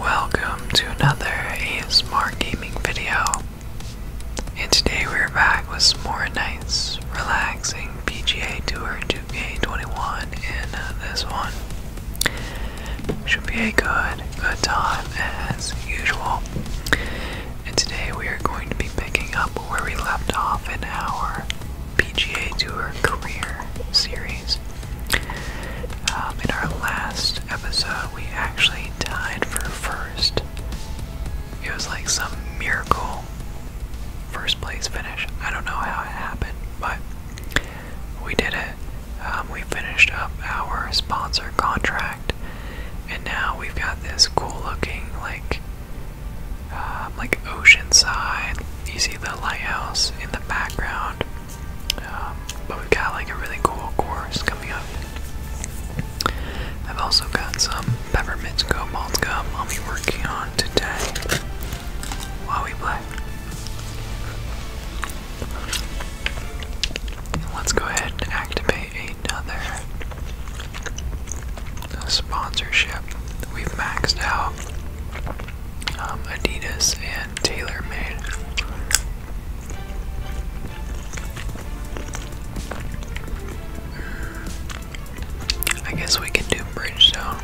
Welcome to another ASMR gaming video. And today we're back with more nice, relaxing PGA Tour 2K21. And uh, this one should be a good, good time as usual. And today we are going to be picking up where we left off in our PGA Tour Career Series. Um, in our last episode, we actually tied for first. It was like some miracle first place finish. I don't know how it happened, but we did it. Um, we finished up our sponsor contract, and now we've got this cool-looking like, um, like oceanside. You see the lighthouse in the background. Um, but we got like a really cool course coming up. I've also got some peppermint go malt gum I'll be working on today while we play. Let's go ahead and activate another sponsorship. We've maxed out um, Adidas and tailor-made. I guess we can do Bridgestone.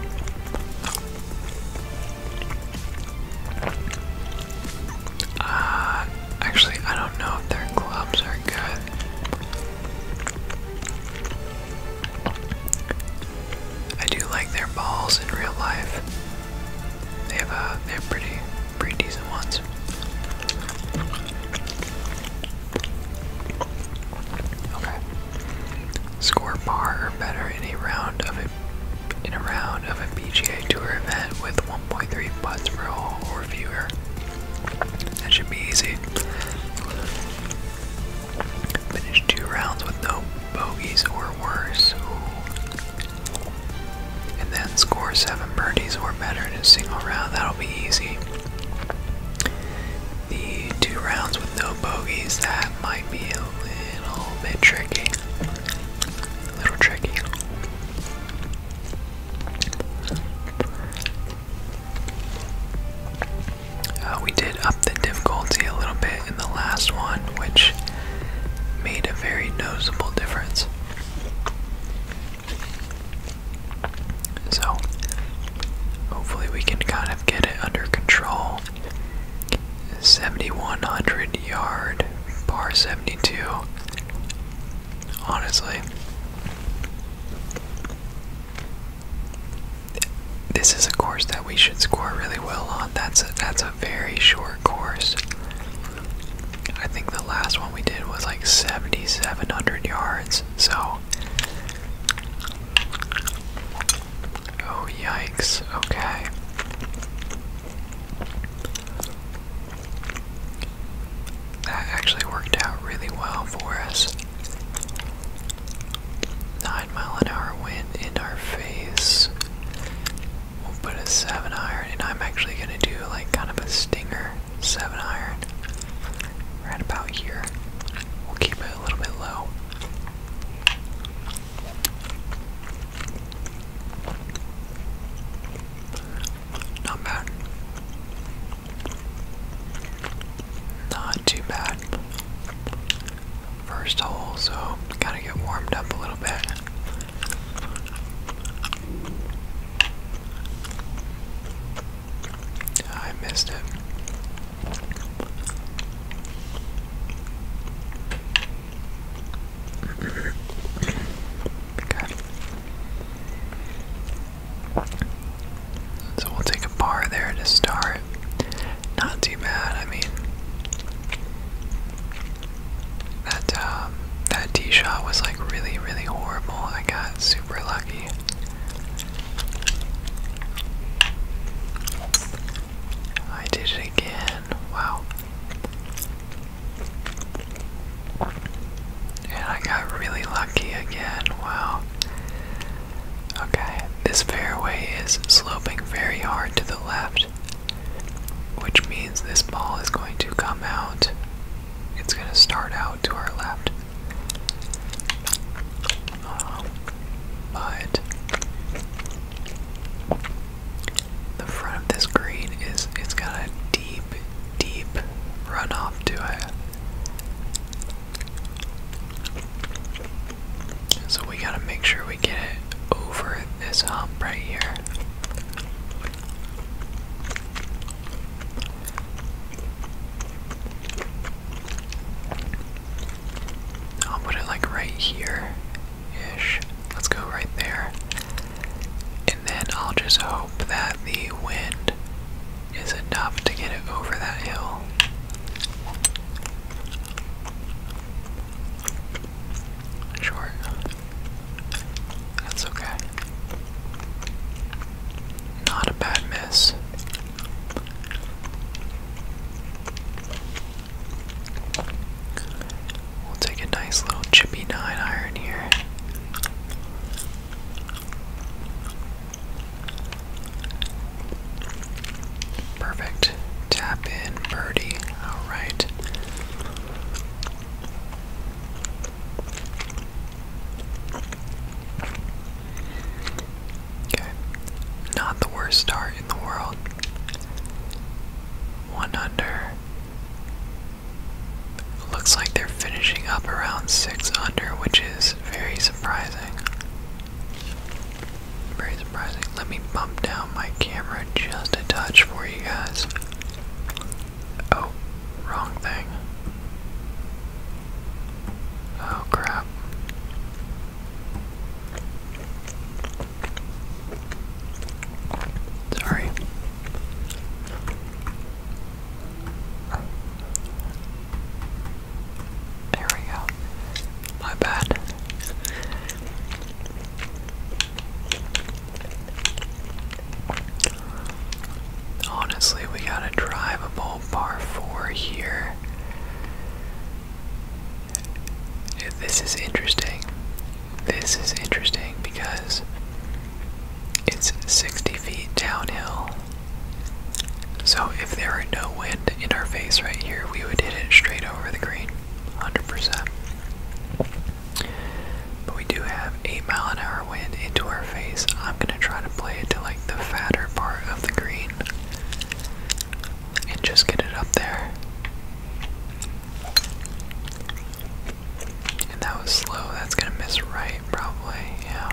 Uh, actually, I don't know if their clubs are good. I do like their balls in real life. They have a, uh, they're pretty, pretty decent ones. Okay. Score par or better in a round of a in a round of a PGA Tour event with 1.3 putts per hole or fewer. That should be easy. Finish two rounds with no Bogies or worse. And then score seven birdies or better in a single round. That'll be easy. The two rounds with no bogeys, that might be a little bit tricky. A little tricky. Uh, we did up the difficulty a little bit in the last one, which made a very noticeable difference. So, hopefully, we can kind of get it under control. 7100 yard, par 72. Honestly, this is a course that we should score really well on. That's a, that's a very short course. I think the last one we did was like 7,700 yards. So. Oh, yikes. Okay. That actually worked out really well for us mile an hour wind in our face. We'll put a 7 iron, and I'm actually gonna do like kind of a stinger 7 iron right about here. We'll keep it a little bit low. Not bad. Not too bad first hole, so gotta get warmed up a little bit. Ah, I missed it. okay. So we'll take a par there to start. Not too bad, I mean, that um, that tee shot was like really, really horrible. I got super lucky. I did it again. Wow. And I got really lucky again. Wow. Okay, this fairway is sloping very hard to the left which means this ball is going to come out. It's going to start out to our left. but the front of this green is it's got a deep, deep run runoff to it. So we gotta make sure we get it over this hump right here. I'll put it like right here ish. Let's go right there. And then I'll just hope that the wind is enough to get it over that hill. Short. That's okay. Not a bad miss. We'll take a nice little chippy 9 iron here. Perfect. Tap in birdie. Alright. Okay, not the worst start in the world. One under. Looks like they're finishing up around six under, which is very surprising. Very let me bump down my camera just a touch for you guys. Oh, wrong thing. Oh crap. Sorry. There we go. My bad. Honestly, we got a drivable par 4 here. This is interesting. This is interesting because it's 60 feet downhill. So if there were no wind in our face right here, we would hit it straight over the green. 100%. But we do have 8 mile an hour wind into our face. I'm gonna try to play it to like the fatter part of the green and just get it up there. And that was slow. That's gonna miss right, probably. Yeah.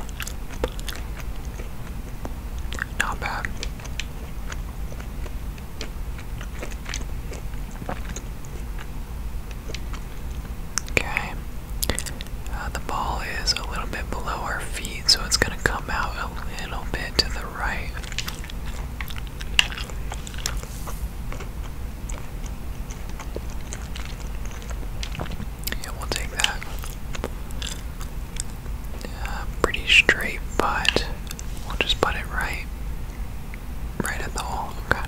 Not bad. Okay. Uh, the ball is a little bit below our feet, so it's going to come out a little bit to the right. Yeah, we'll take that. Uh, pretty straight, but we'll just put it right right at the hole. Okay.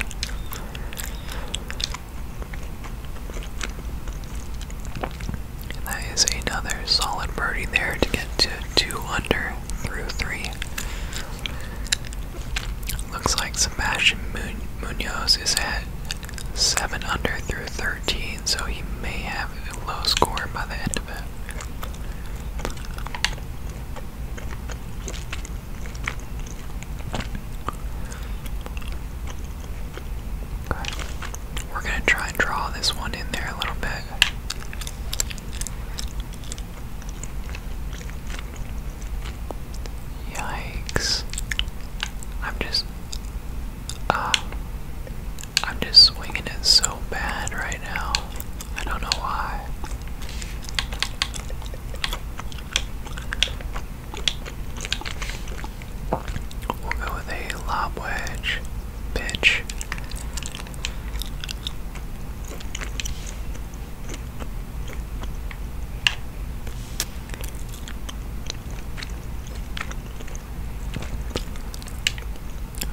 that is another solid birdie there to get to two under through three. Looks like Sebastian Munoz is at seven under through 13, so he may have a low score by the end of it. We're going to try and draw this one in there a little bit. Yikes. I'm just uh I'm just swinging it so bad right now. I don't know why. We'll go with a lob wedge bitch.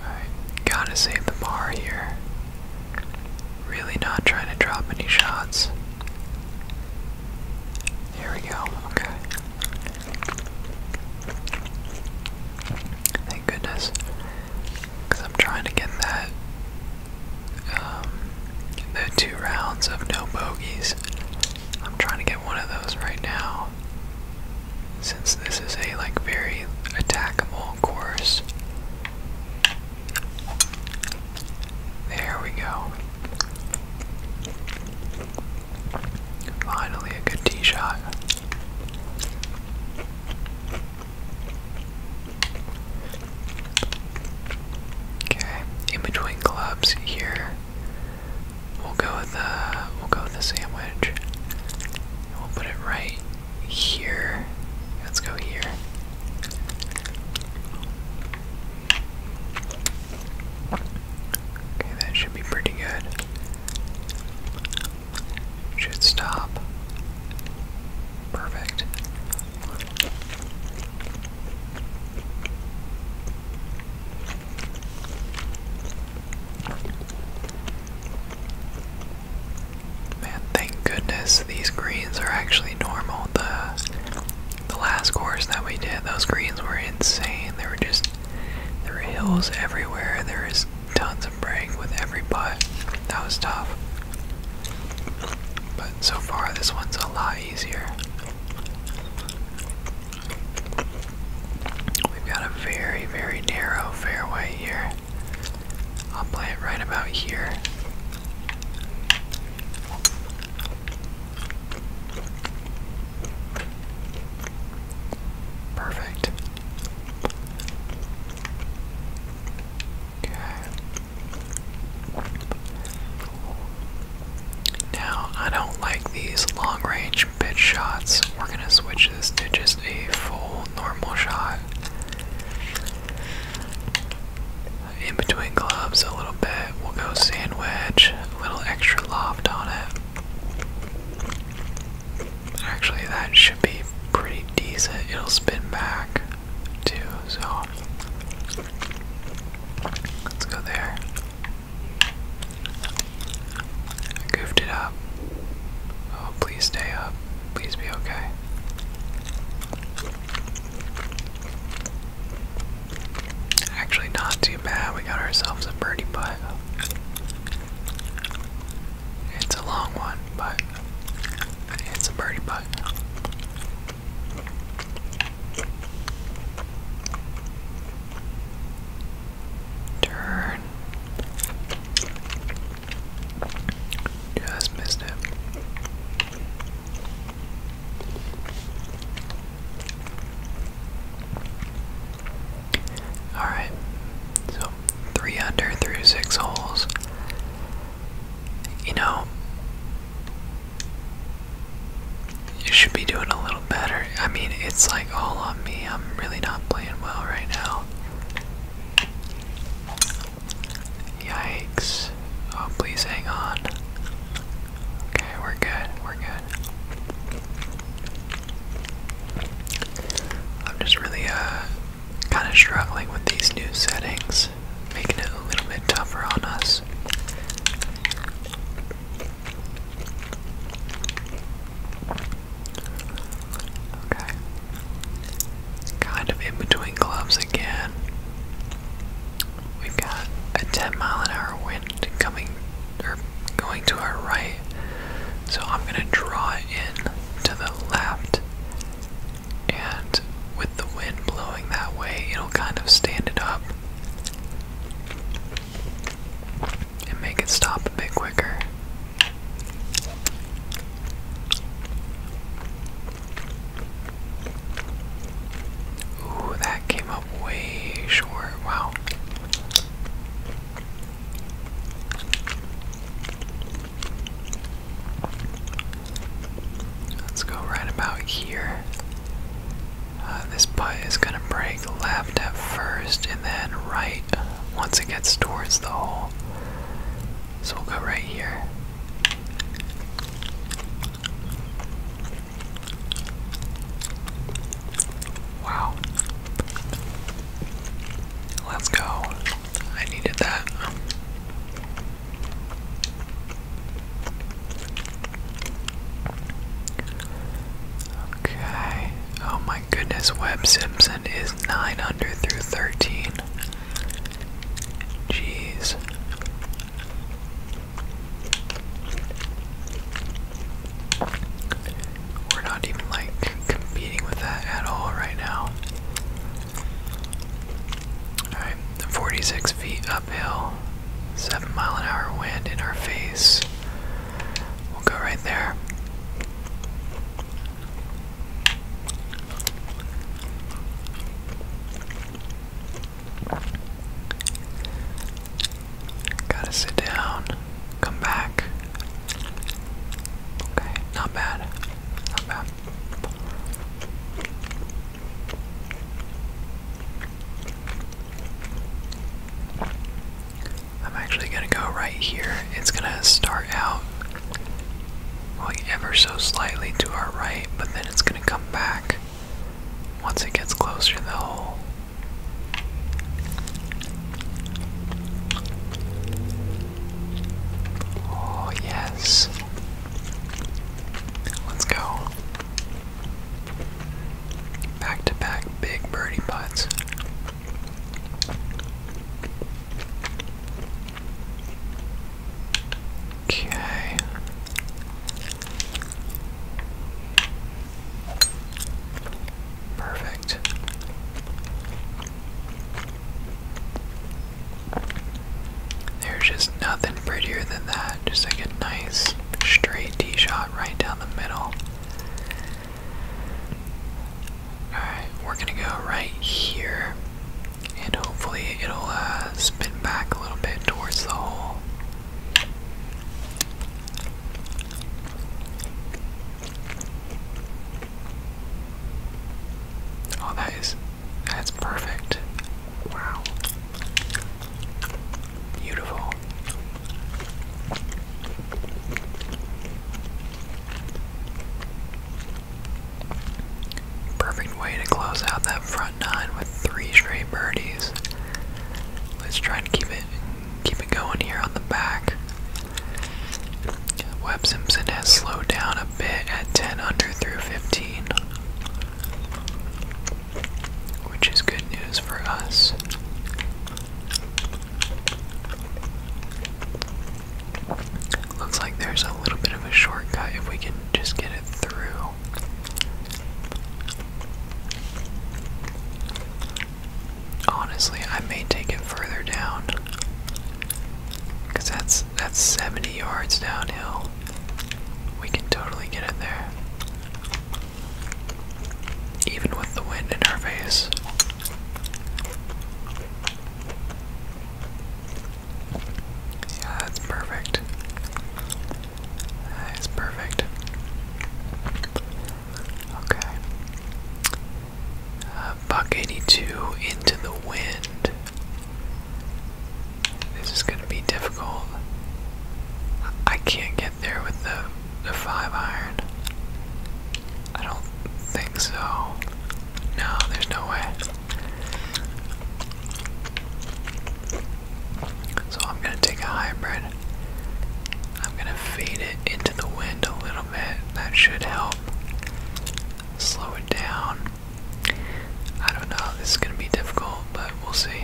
Alright, gotta save the bar here. Really not trying to drop any shots. Here we go, okay. Thank goodness. Because I'm trying to get that, um, the two rounds of no bogeys. I'm trying to get one of those right now. Since this is a, like, very attackable course. There we go. Finally, a good tee shot. Okay, in between clubs here, we'll go with the uh, we'll go with the sandwich. we'll put it right here. Let's go here. Okay, that should be pretty good. Should stop. Perfect. Man, thank goodness these greens are actually normal. The the last course that we did, those greens were insane. There were just there were hills everywhere. There is tons of break with every putt. That was tough. But so far this one's a lot easier. We've got a very, very narrow fairway here. I'll play it right about here. Perfect. Okay. Now, I don't like these long range pitch shots. We're going to switch this to just a full normal shot. In between gloves a little bit. We'll go sandwich, a little extra loft on it. Actually, that should be pretty decent. It'll spin back too, so let's go there. I goofed it up. Oh, please stay up. Please be okay. Actually, not too bad. We got ourselves a birdie putt. It's a long one, but it's a birdie putt. Turn. Just missed it. Alright, so three under through six holes. You know, you should be doing a little better. I mean, it's like all on me. I'm really not playing well right now. Yikes. Oh, please hang on. Okay, we're good. We're good. I'm just really, uh, kind of struggling with these new settings, making it a little bit tougher on us. Okay. Kind of in between clubs again. We've got a 10 mile an hour wind coming or going to our right. So I'm going to draw it in to the left. And with the wind blowing that way, it'll kind of stand it up and make it stop a bit quicker. Ooh, that came up way short. Wow. Let's go right about here. Uh, this putt is going to break left at first and then right once it gets towards the hole. So we'll go right here. Wow. Let's go. I needed that. Okay. Oh my goodness, Webb Simpson is 9 through 13. Jeez. We're not even like competing with that at all right now. Alright, 46 feet uphill, 7 mile an hour wind in our face. We'll go right there. Gotta sit down, come back. Okay, not bad. Not bad. I'm actually gonna go right here. It's gonna start out like ever so slightly to our right, but then it's going to come back once it gets closer to the hole. Oh, yes. Let's go. Back to back big birdie putts. Okay. Perfect. There's just nothing prettier than that. Just like a nice straight tee shot right down the middle. Alright, we're gonna go right here and hopefully it'll uh, spin back a little bit towards the hole. Oh, that is that's perfect. Wow. Beautiful. Perfect way to close out that front nine with three straight birdies. Let's try to keep it keep it going here on the back. Webb Simpson has slowed down a bit at 10 under through 15, which is good news for us. Looks like there's a little bit of a shortcut if we can just get it through. Honestly, I may take it further down. Cause that's that's 70 yards downhill. We can totally get in there. Even with the wind in our face. Yeah, that's perfect. That is perfect. Okay. Uh, buck 82 into the wind. This is going to be difficult. I can't get there with the, the 5 iron. I don't think so. No, there's no way. So I'm gonna take a hybrid. I'm gonna fade it into the wind a little bit. That should help slow it down. I don't know, this is gonna be difficult, but we'll see.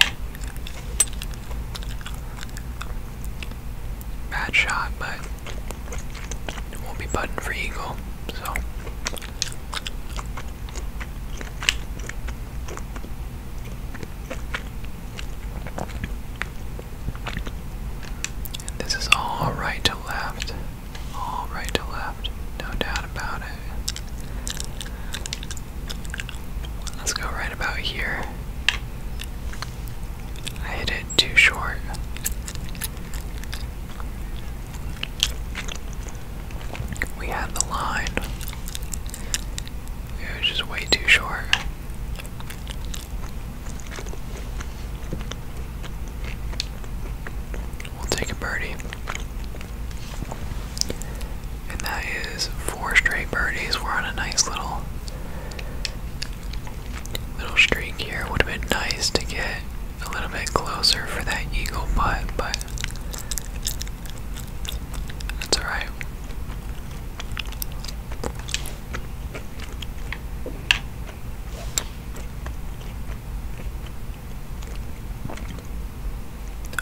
Bad shot, but won't be button for Eagle, so this is all right to left. All right to left. No doubt about it. Let's go right about here. I hit it too short. We had the line. It was just way too short. We'll take a birdie. And that is four straight birdies. We're on a nice little little streak here. Would have been nice to get a little bit closer for that eagle putt, but that's alright.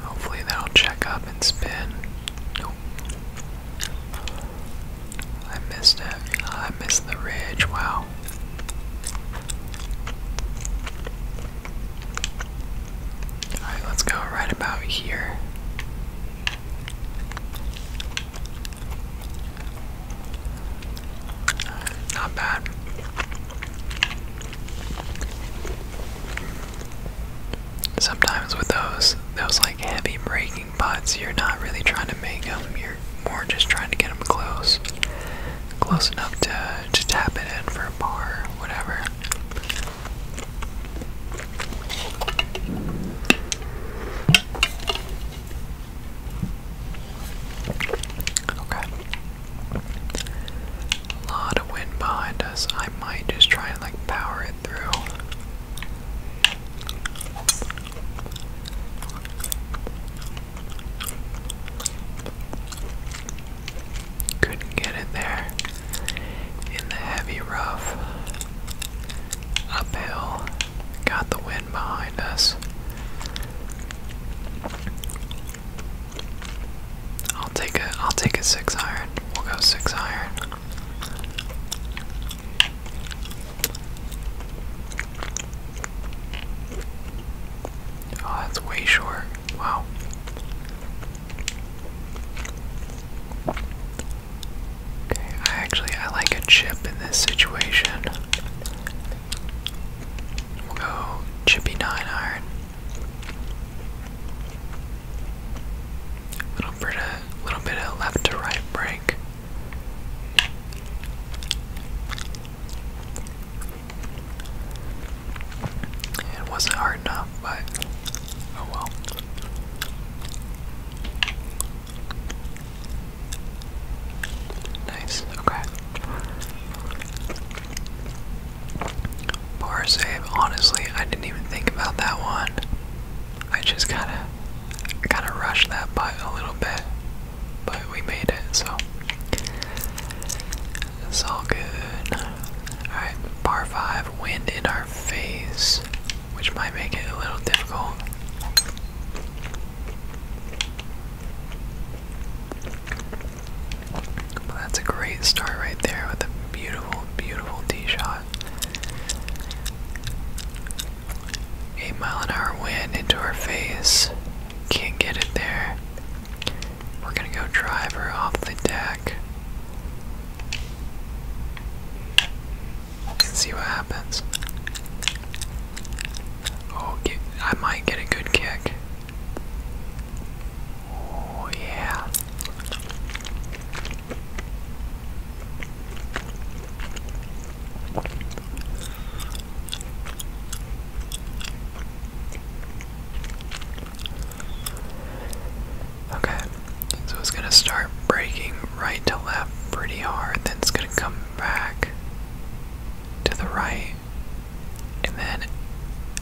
Hopefully that'll check up and spin. Nope. I missed it. I missed the ridge. Wow. Alright, let's go right about here. Not bad. Sometimes with those those like heavy braking putts, you're not really trying to make them. You're more just trying to get them close, close enough to uh, just tap it in for a bar, whatever. Okay. A lot of wind behind us. I might just try and like power it through. Couldn't get it there. In the heavy rough. Uphill. Got the wind behind us. I'll take a I'll take a six iron. We'll go six iron. Oh, that's way short. Wow. Okay, I actually I like a chip in this situation. We'll go chippy nine iron. Little bit of little bit of left to right break. It wasn't hard enough, but oh well. Nice, okay. Poor save, honestly, I didn't even think about that one. I just gotta gotta rush that butt a little bit. But we made it, so it's all good. Alright, par 5, wind in our face, which might make it a little difficult. But that's a great start right there with a beautiful, beautiful tee shot. 8 mile an hour wind into our face. can get it there. We're gonna go drive her off the deck. And see what happens. Oh, I might get a good kick. Oh, yeah. Okay, so it's gonna start breaking right to left pretty hard, then it's gonna come back to the right, and then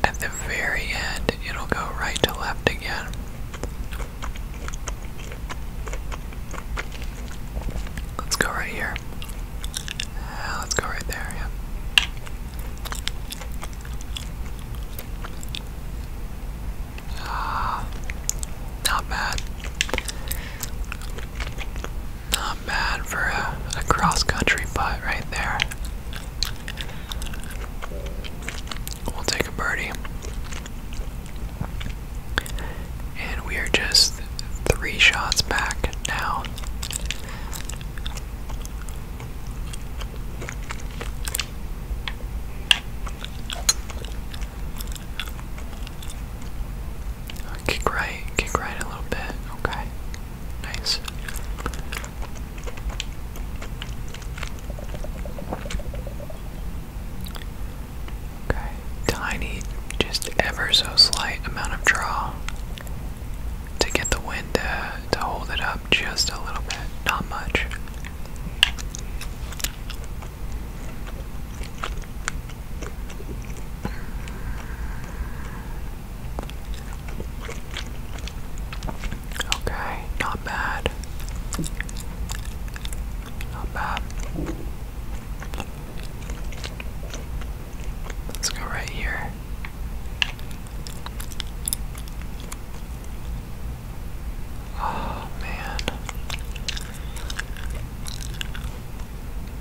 at the very end, it'll go right to left again. Let's go right here. Uh, let's go right there, yeah. Uh, not bad. Not bad for a cross country putt right there. We'll take a birdie. And we are just three shots back now. Kick right, kick right a little bit. Okay, nice. Okay, tiny, just ever so slight amount of draw to get the wind to, to hold it up just a little bit, not much. Okay, not bad. Not bad. Let's go right here. Oh man.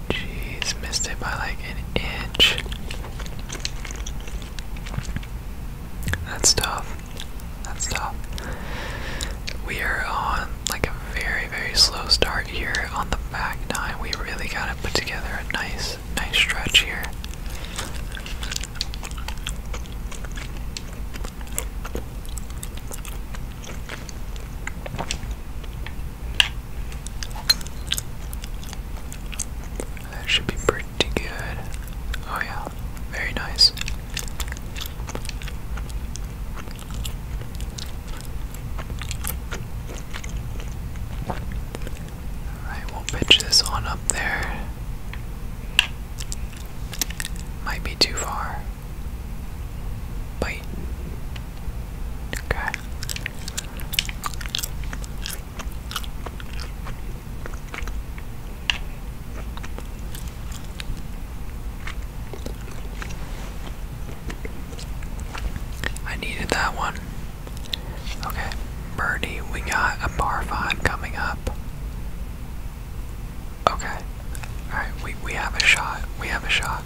Jeez, missed it by like an inch. That's tough. That's tough. We are on like a very, very slow start here on the back nine. We really gotta put together a nice, nice stretch here. That should be pretty good. Oh, yeah, very nice. Alright, will pitch this on up there. Might be too far. Bite. Okay. I needed that one. Okay, birdie, we got a par five coming up. Okay, all right, we we have a shot. We have a shot.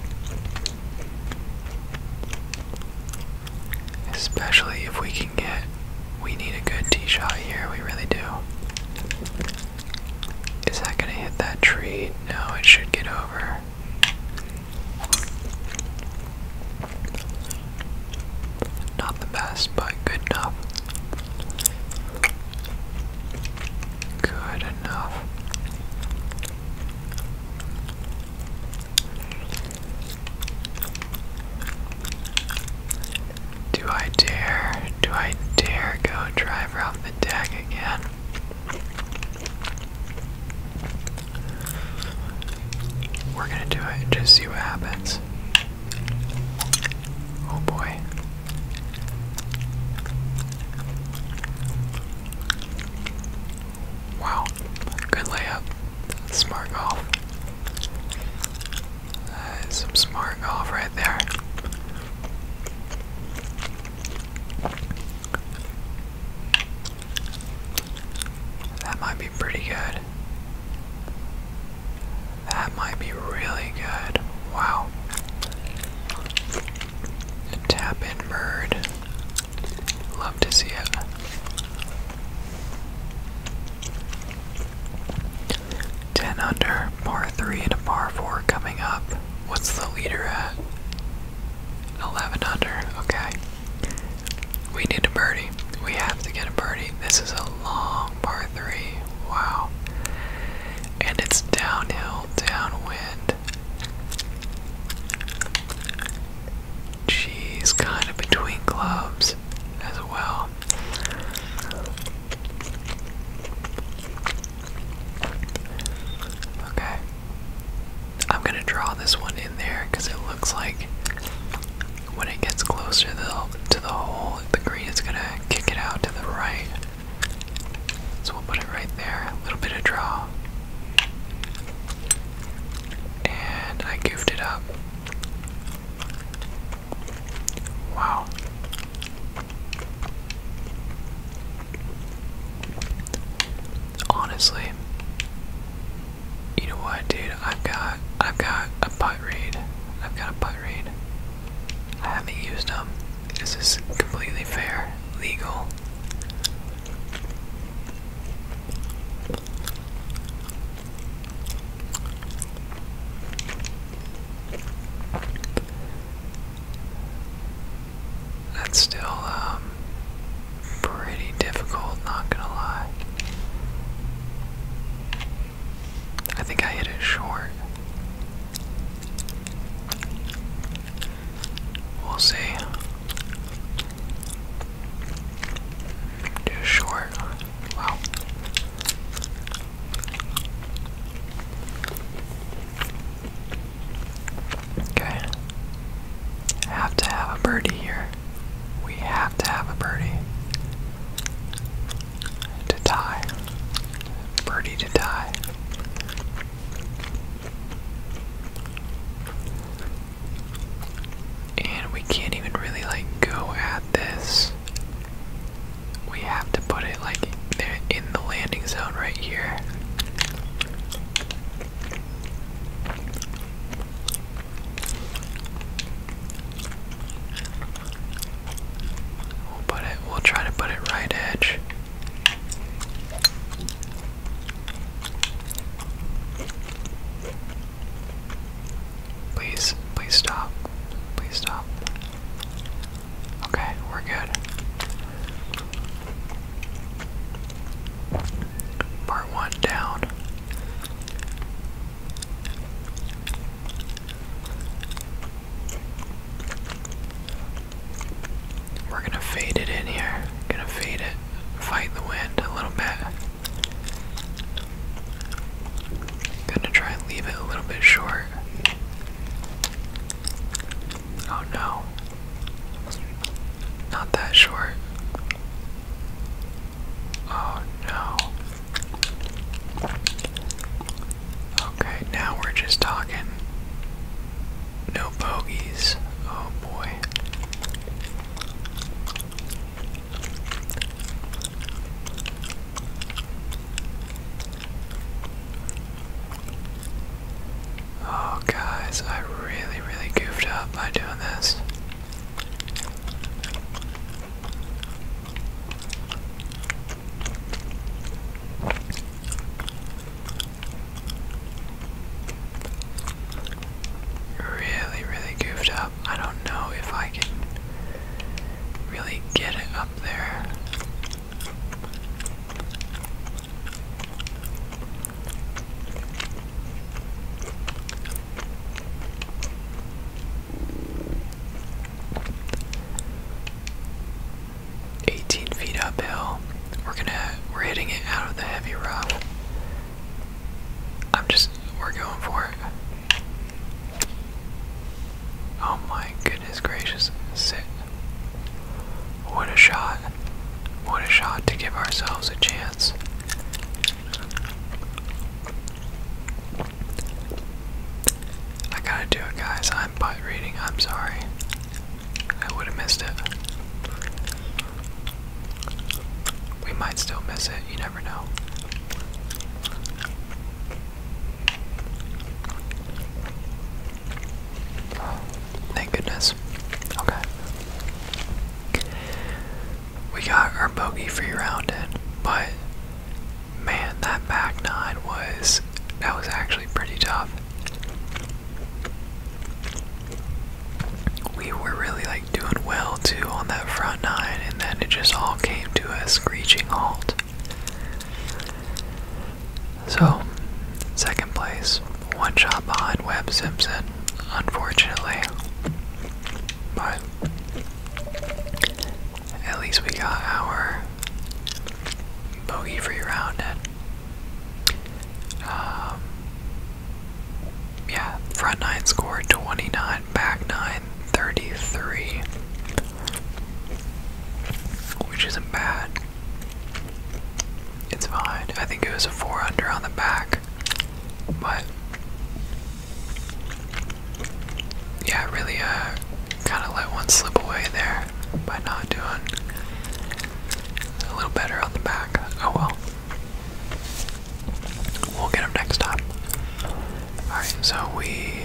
Especially if we can get, we need a good tee shot here. We really do. Is that gonna hit that tree? No, it should get over. Not the best, but good enough. Good enough. Do I dare? Do I dare go drive off the deck again? We're gonna do it just see what happens. Oh boy. Wow. Good layup. Smart golf. some smart golf right there. That might be pretty good. That might be really good. Wow. Tap in bird. Love to see it. Ten under, par three to par four coming up. What's the leader at? Eleven under, okay. We need a birdie. We have to get a birdie. This is a long par three. Wow. And it's downhill, downwind. She's kind of between clubs as well. Okay. I'm going to draw this one in there because it looks like when it gets closer to the, hole, the green is going to kick it out to the right. So we'll put it right there. A little bit of draw. And I goofed it up. Wow. Honestly, you know what, dude? I've got I've got a butt raid. I've got a butt read. I have got a butt read i have not used them. This is completely fair, legal. That's still um pretty difficult, not gonna lie. I think I hit it short. We'll see. Just short. Wow. Okay. have to have a birdie here. We have to have a birdie to tie. Birdie to tie. And we can't even really like go at this. We have to put it like there in the landing zone right here. We'll put it. We'll try to put it right edge. Please, please stop. Please stop. Okay, we're good. Part one down. We're gonna fade it in here. Gonna fade it. Fight the wind a little bit. Gonna try and leave it a little bit short. Oh no. Not that short. Oh no. Okay, now we're just talking. No bogeys. Oh boy. Oh, guys, I really, really goofed up by doing this. Really, really goofed up. I don't know if I can really get it up there. 18 feet uphill. We're gonna we're hitting it out of the heavy rock. I'm just we're going for it. Oh my goodness gracious. Sit. What a shot. What a shot to give ourselves a chance. I gotta do it, guys. I'm butt reading. I'm sorry. I would have missed it. We might still miss it. You never know. thank goodness. Okay. We got our bogey free round in, but Man, that back nine was that was actually pretty tough. We were really like doing well too on that front nine, and then it just all came to a screeching halt. So, second place, one shot behind Webb Simpson, unfortunately. But at least we got our bogey free round and um, yeah, front nine score 29, back nine 33, which isn't bad. It's fine. I think it was a four under on the back, but yeah, really uh, kind of let one slip away there by not doing a little better on the back. Oh well. We'll get him next time. Alright, so we,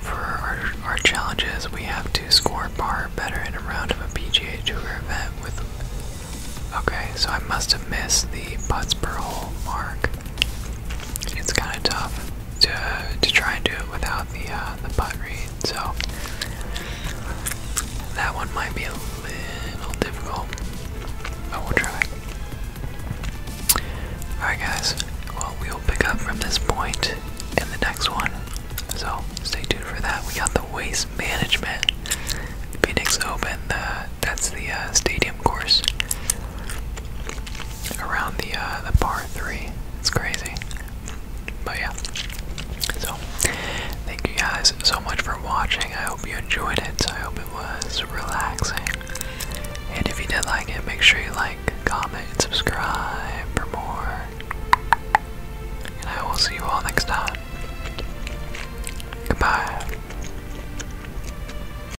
for our, our challenges, we have to score par better in a round of a PGA Tour event with. Okay, so I must have missed the putts per hole mark it's kind of tough to to try and do it without the uh, the butt read. So that one might be a little difficult, I will try. Alright, guys. Well, we will pick up from this point in the next one. So stay tuned for that. We got the waste management Phoenix Open, the that's the uh, stadium course around the uh, the par three. It's crazy, but yeah. So thank you guys so much for watching. I hope you enjoyed it. I hope it was relaxing. And if you did like it, make sure you like, comment, subscribe for more. And I will see you all next time. Goodbye.